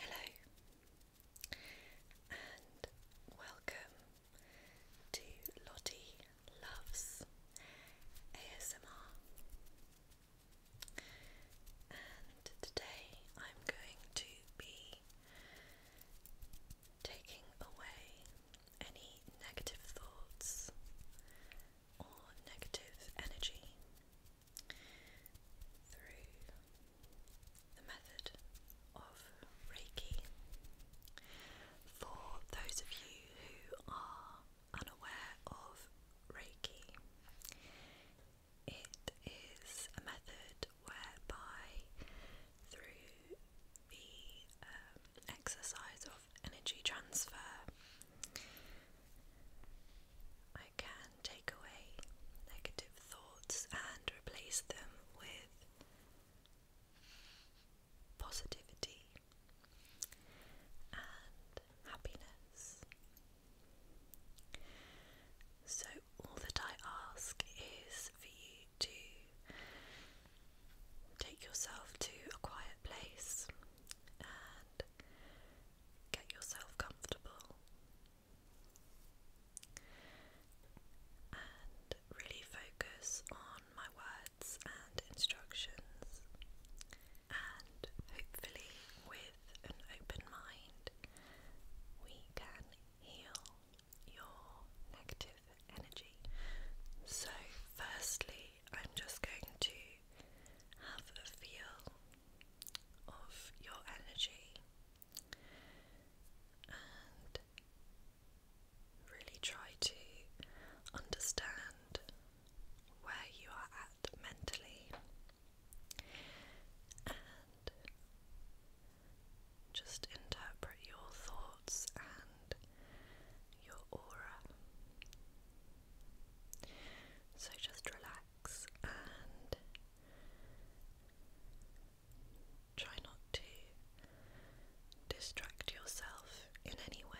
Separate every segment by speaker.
Speaker 1: Hello, and welcome to Lottie Loves ASMR. And today I'm going to be taking away any negative thoughts or negative energy through the method of Reiki. For those of you who are unaware of Reiki, it is a method whereby through the um, exercise energy transfer. I can take away negative thoughts and replace them with positivity and happiness. So, all that I ask is for you to take yourself to a quiet place and Get yourself comfortable and really focus on my words and instructions, and hopefully, with an open mind, we can heal your negative energy. So, firstly, I'm just going to have a feel of your energy and really try to understand where you are at mentally and just interpret your thoughts and your aura. So just relax and try not to distract yourself in any way.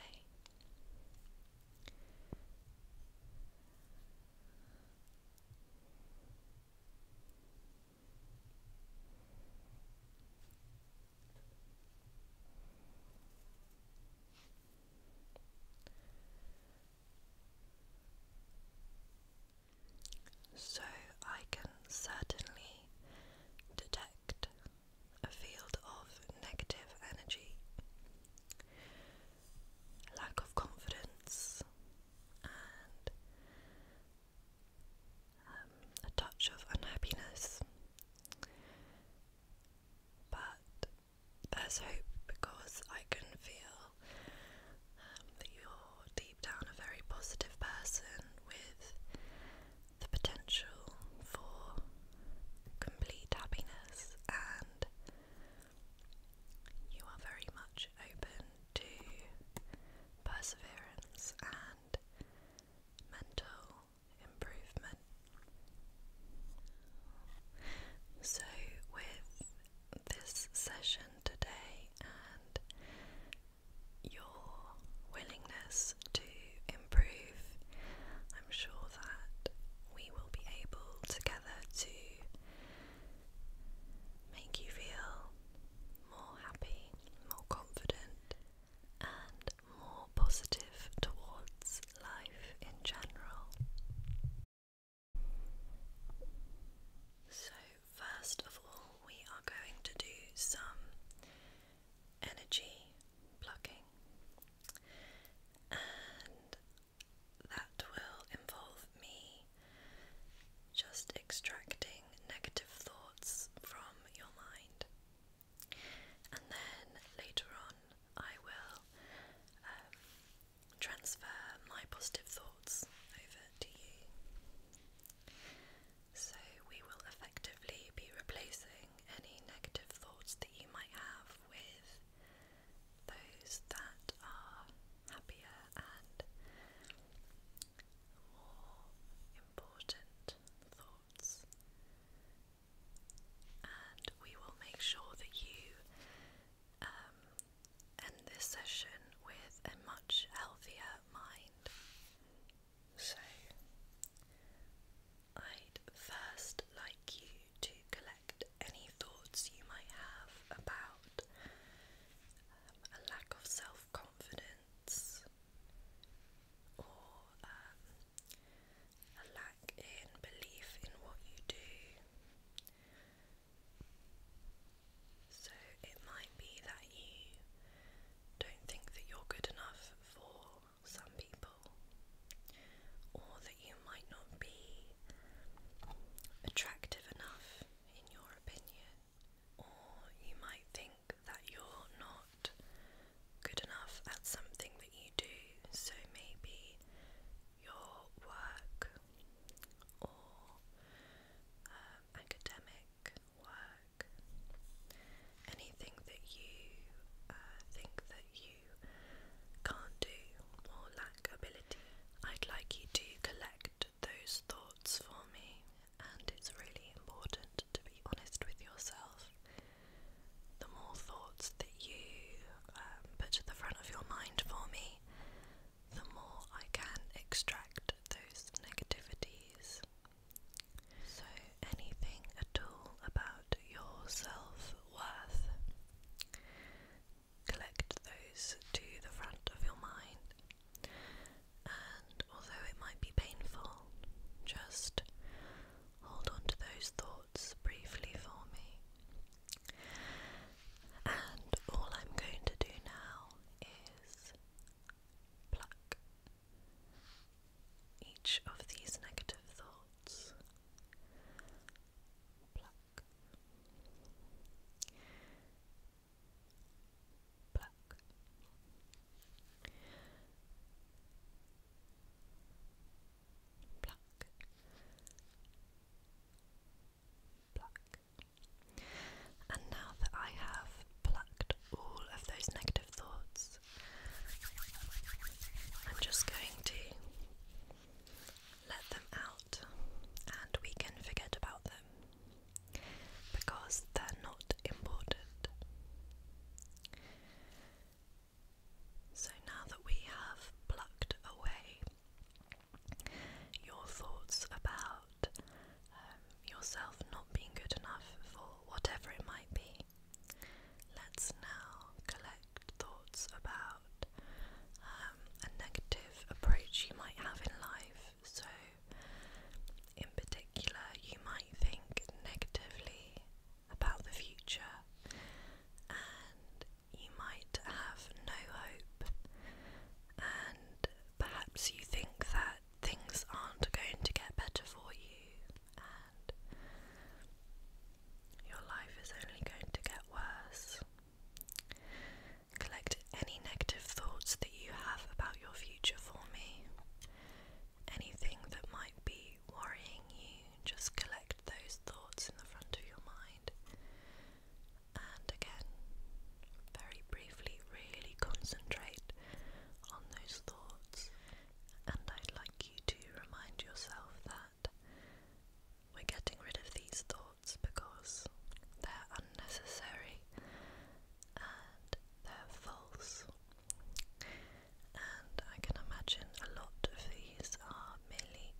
Speaker 1: So I can certainly detect a field of negative energy, lack of confidence, and um, a touch of unhappiness but there's hope because I can feel um, that you're deep down a very positive person with the potential for complete happiness, and you are very much open to perseverance and mental improvement. So, with this session today and your willingness to improve, I'm sure that we will be able together to make you feel more happy, more confident, and more positive towards life in general. So, first of all, we are going to do some energy plucking, and that will involve me just extracting negative thoughts from your mind and then later on I will um, transfer my positive thoughts over to you. So we will effectively be replacing any negative thoughts that you might have with those that are happier and more important thoughts and we will make sure that you um, end this session with a much healthier mind. So, I'd first like you to collect any thoughts you might have about um, a lack of self confidence, or um, a lack in belief in what you do. So it might be that you don't think that you're good enough for some people, or that you might not be attractive enough in your opinion, or you might think that you're not good enough at something that you do. So maybe your work or um, academic work, anything that you uh, think that you can't do or lack ability. I'd like you to collect those thoughts for me and it's really important to be honest with yourself. The more thoughts that you um, put to the front of your mind for me, the more I can extract those negativities. So, anything at all about your self worth, collect those to the front of your mind and although it might be painful, just hold on to those thoughts briefly for me. And all I'm going to do now is pluck each of these negative thoughts. Pluck black. And now that I have plucked all of those negative thoughts, I'm just going to let them out and we can forget about them because they're not important. So now that we have plucked away your thoughts about um, yourself not being good enough for whatever it might be, let's now collect thoughts about um, a negative approach you might have in life. So, in particular, you might think negatively about the future and you might have no hope, and perhaps you think that things aren't going to get better for you and your life is only going to get worse. Collect any negative thoughts that you have about your future for me anything that might be worrying you, just collect those thoughts in the front of your mind. And again, very briefly, really concentrate on those thoughts. And I'd like you to remind yourself that we're getting rid of these thoughts because they're unnecessary and they're false. And I can imagine a lot of these are merely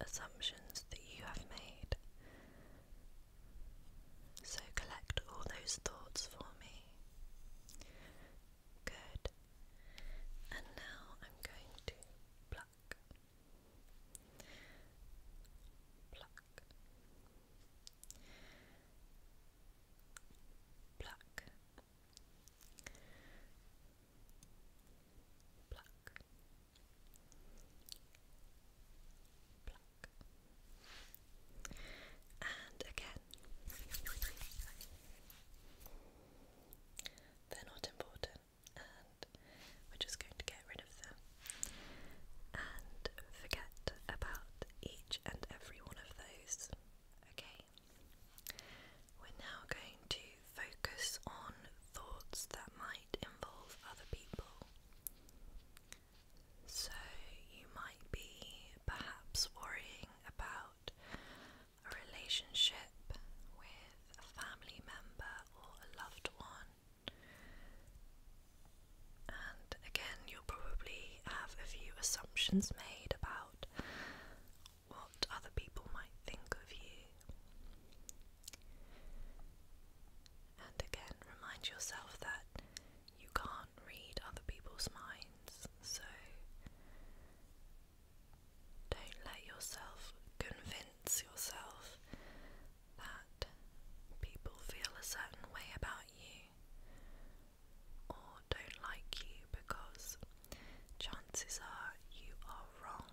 Speaker 1: assumptions that you have made. So collect all those thoughts for me. Good. And now I'm going to pluck. Pluck. Black, Pluck. Pluck. And again. They're not important, and we're just going to get rid of them and forget about each and every one of those. Okay, we're now going to focus on thoughts that might involve other people. So, you might be perhaps worrying about a relationship with a family member or a loved one,
Speaker 2: and again, you'll probably have a few assumptions
Speaker 1: made about what other people might think of you. And again, remind yourself that you can't read other people's minds, so don't let yourself convince yourself that people feel a certain way about you or don't like you because chances are you are wrong.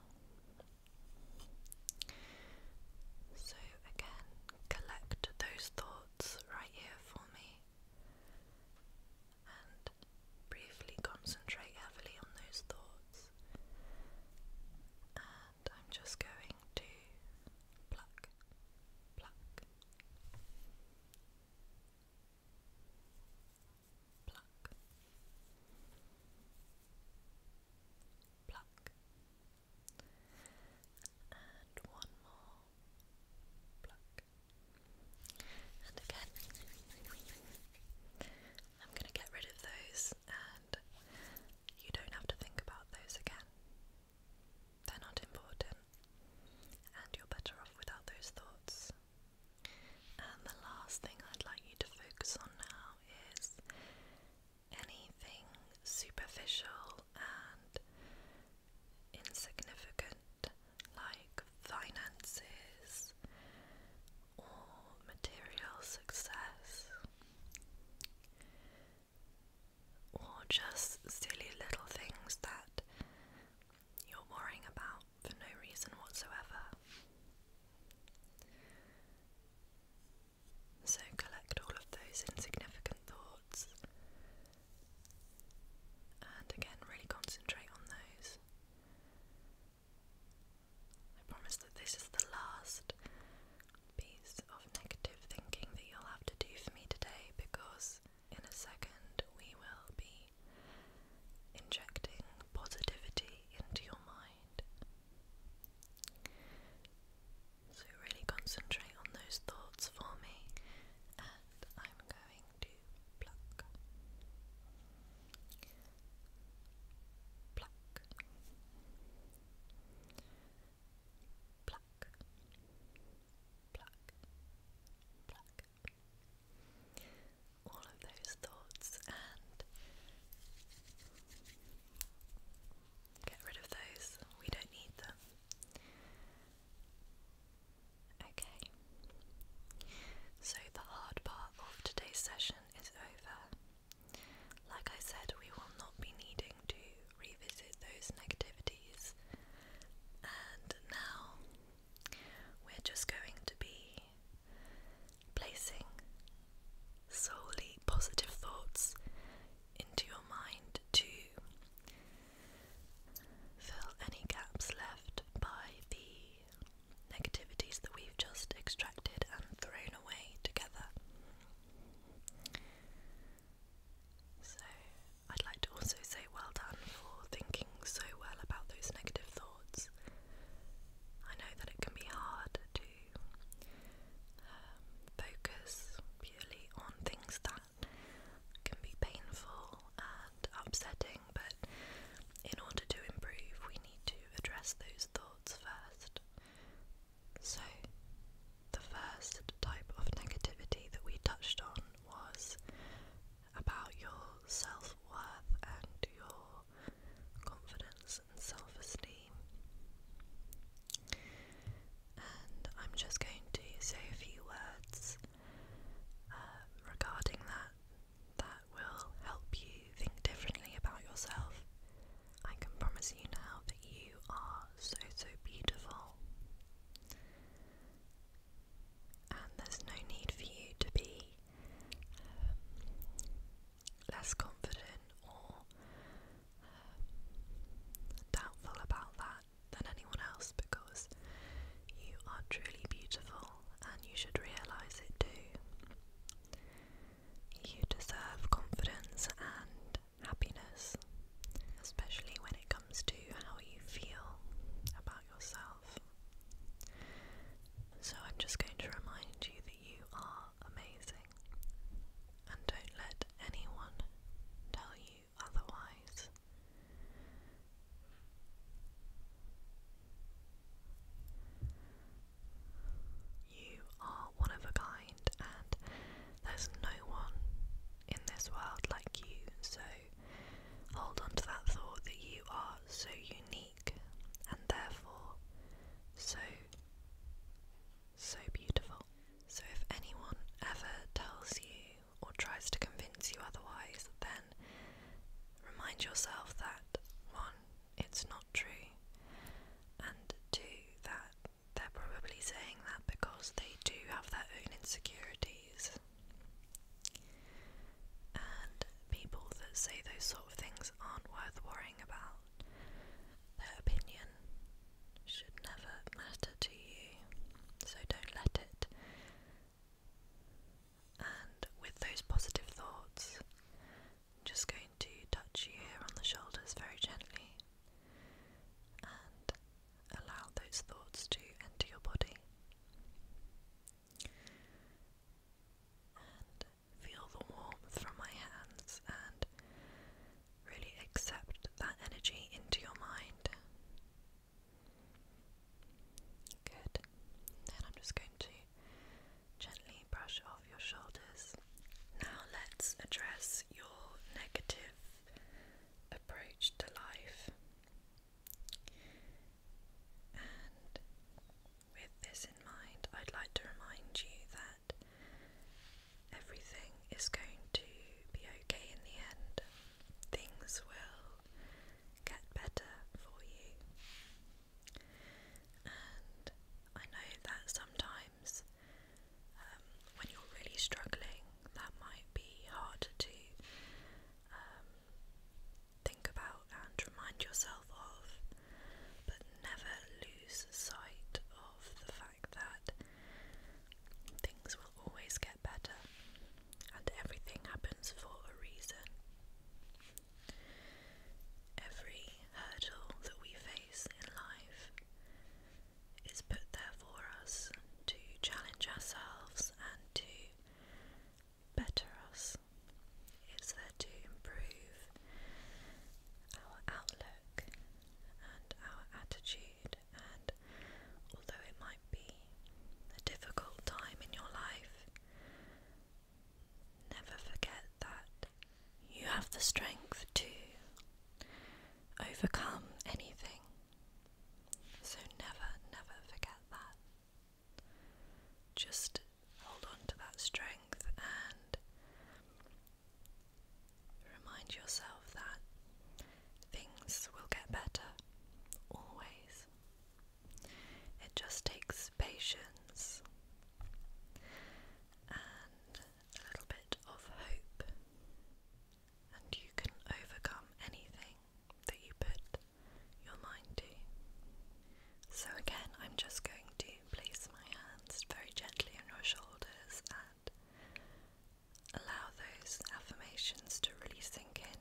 Speaker 1: So, again, collect those thoughts right here for me and briefly concentrate heavily on those thoughts. I'm just going to pluck, pluck, pluck, pluck, and one more pluck, and again. I'm going to get rid of those, and you don't have to think about those again. They're not important, and you're better off without those thoughts. And the last thing I'd like you to focus on now is anything superficial and insignificant, like finances or material success or just silly little things that you're worrying about for no reason whatsoever. So collect all of those insignificant thoughts and again, really concentrate on those. I promise that this is the last piece of negative thinking that you'll have to do for me today because in a second we will be injecting positivity into your mind. So, really concentrate on those thoughts for me, and I'm going to pluck, pluck, pluck, pluck. All of those thoughts and get rid of those. We don't need them. Okay. So the hard part of today's session is over. Like I said, we will not be needing to revisit those negativities, and now we're just going to be placing solely positive thoughts into your mind to fill any gaps left by the negativities that we've just extracted and thrown away together. So, I'd like to also say well done for thinking so well about those negative thoughts. I know that it can be hard to um, focus purely on things that can be painful and upsetting, but in order to improve, we need to address those thoughts first. So, the first type of negativity that we touched on was about your self worth and your confidence and self esteem. And I'm just going to say a few words um, regarding that that will help you think differently about yourself I can promise you now that you are so, so beautiful. And there's no need for you to be um, less confident or um, doubtful about that than anyone else because you are truly beautiful and you should realise it too. You deserve confidence and happiness, especially when it comes to how you feel about yourself. So, I'm just going to remind you that you are amazing, and don't let anyone tell you otherwise. You are one of a kind, and there's no one in this world like you. So hold on to that thought that you are so unique and therefore so, so beautiful. So if anyone ever tells you or tries to convince you otherwise, then remind yourself that one, it's not true, and two, that they're probably saying that because they do have their own insecurities. And people that say those sort of things aren't worth worrying about. Their opinion should never matter to you, so don't let it. And with those positive thoughts, I'm just going to touch you here on the shoulders very gently and allow those thoughts to enter your body. And feel the warmth from my hands and really accept that energy into your mind. Good. Then I'm just going to Gently brush off your shoulders. Now let's address your negative approach to life. And with this in mind, I'd like to remind you that everything is going to be okay in the end. Things will get better for you. And I know that sometimes um, when you're really struggling, that might be hard to um, think about and remind yourself of, but never lose sight of the fact that things will always get better and everything happens for a reason. Every hurdle that we face in life is put there for us to challenge ourselves and to better us. It's there to improve our outlook and our attitude, and although it might be a difficult time in your life, Never forget that you have the strength to overcome anything. So never, never forget that. Just hold on to that strength and remind yourself that things will get better always. It just takes patience and a little bit of hope, and you can overcome anything that you put your mind to. So, again, I'm just going to place my hands very gently on your shoulders and allow those affirmations to really sink in.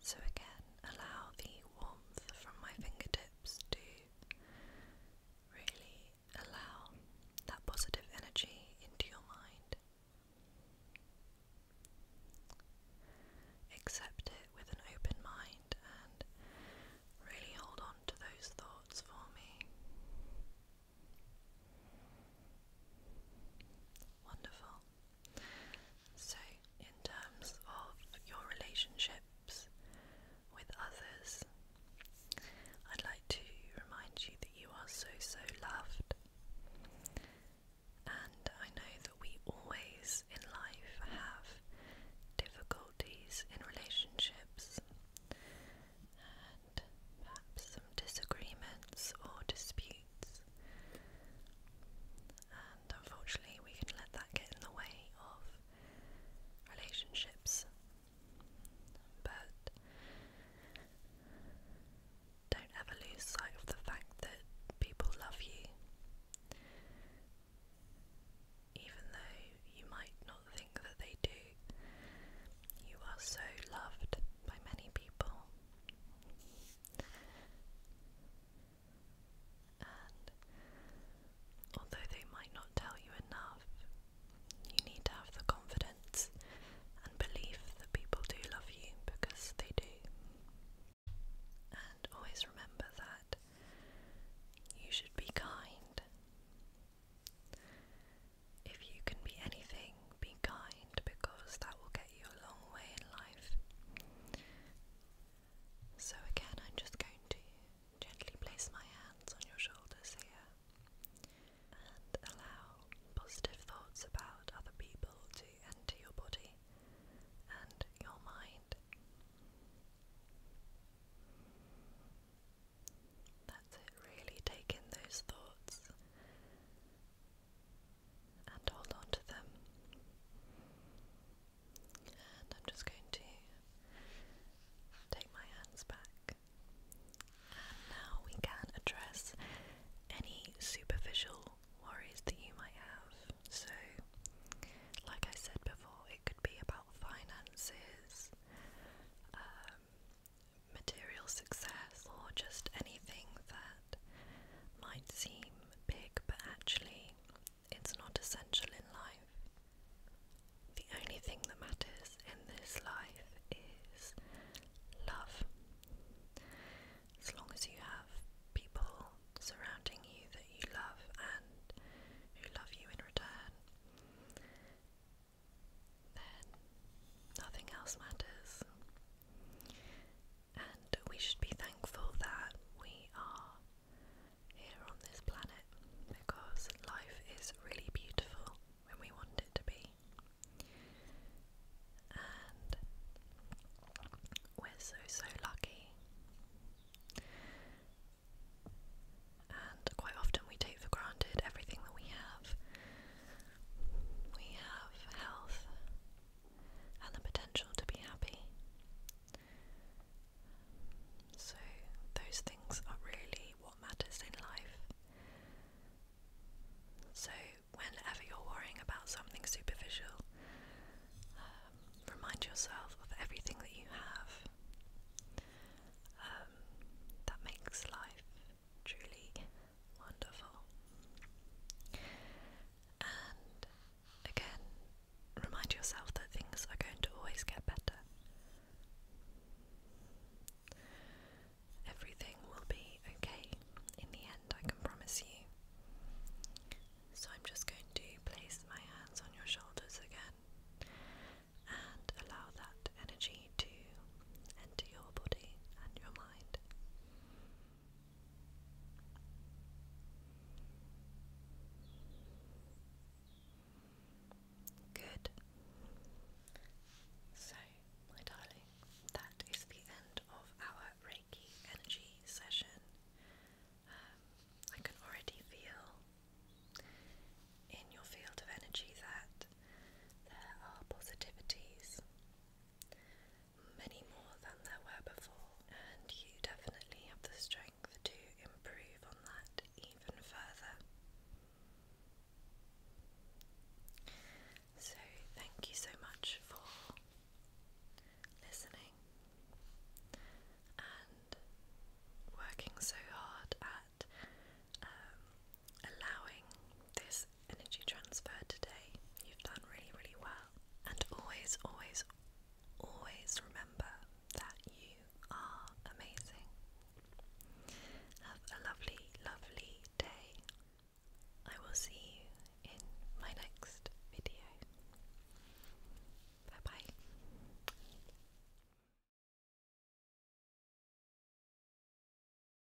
Speaker 1: So again, allow the warmth from my fingertips to really allow that positive energy into your mind. Accept it with an open mind and really hold on to those thoughts for me. Wonderful. So, in terms of your relationships with others, I'd like to remind you that you are so, so loved. And I know that we always in life have difficulties in relationships and perhaps some disagreements or disputes and unfortunately we can let that get in the way of relationships. But don't ever lose sight of the fact that people love you. Even though you might not think that they do, you are so loved by many people. And although they might not tell you enough, you need to have the confidence and belief that people do love you because they do. And always remember that you should be kind. If you can be anything, be kind because that will get you a long way in life. So, again, I'm just going to gently place my hands on your shoulders here and allow positive thoughts about other people to enter your body and your mind. That's it, really take in those thoughts and hold on to them. And I'm just going to take my hands back. And now we can address any superficial worries that you might have. So, like I said before, it could be about finances, um, material success, or just anything that might seem big, but actually it's not essential in life. The only thing that matters in this life is love. As long as you have people surrounding you that you love and who love you in return, then nothing else matters and we should be thankful that we are here on this planet because life is really beautiful when we want it to be. And we're so, so lucky. And quite often we take for granted everything that we have. We have health, and the potential to be happy. So, those things are really what matters in life. So, whenever you're worrying about something superficial, um, remind yourself of everything that you have. Um, that makes life truly wonderful. And again, remind yourself that things are going to always get better. Everything will be okay in the end, I can promise you. So I'm just going to place my hands on your shoulders again and allow that energy to enter your body and your mind. Good. So, my darling, that is the end of our Reiki energy session. Um, I can already feel in your field of energy that there are positivities many more than there were before, and you definitely have the strength to improve on that even further. So, thank you so much for listening and working so hard at um, allowing this energy transfer today. You've done really, really well. And always, always, always remember that you are amazing. Have a lovely, lovely day. I will see you in my next video. Bye bye.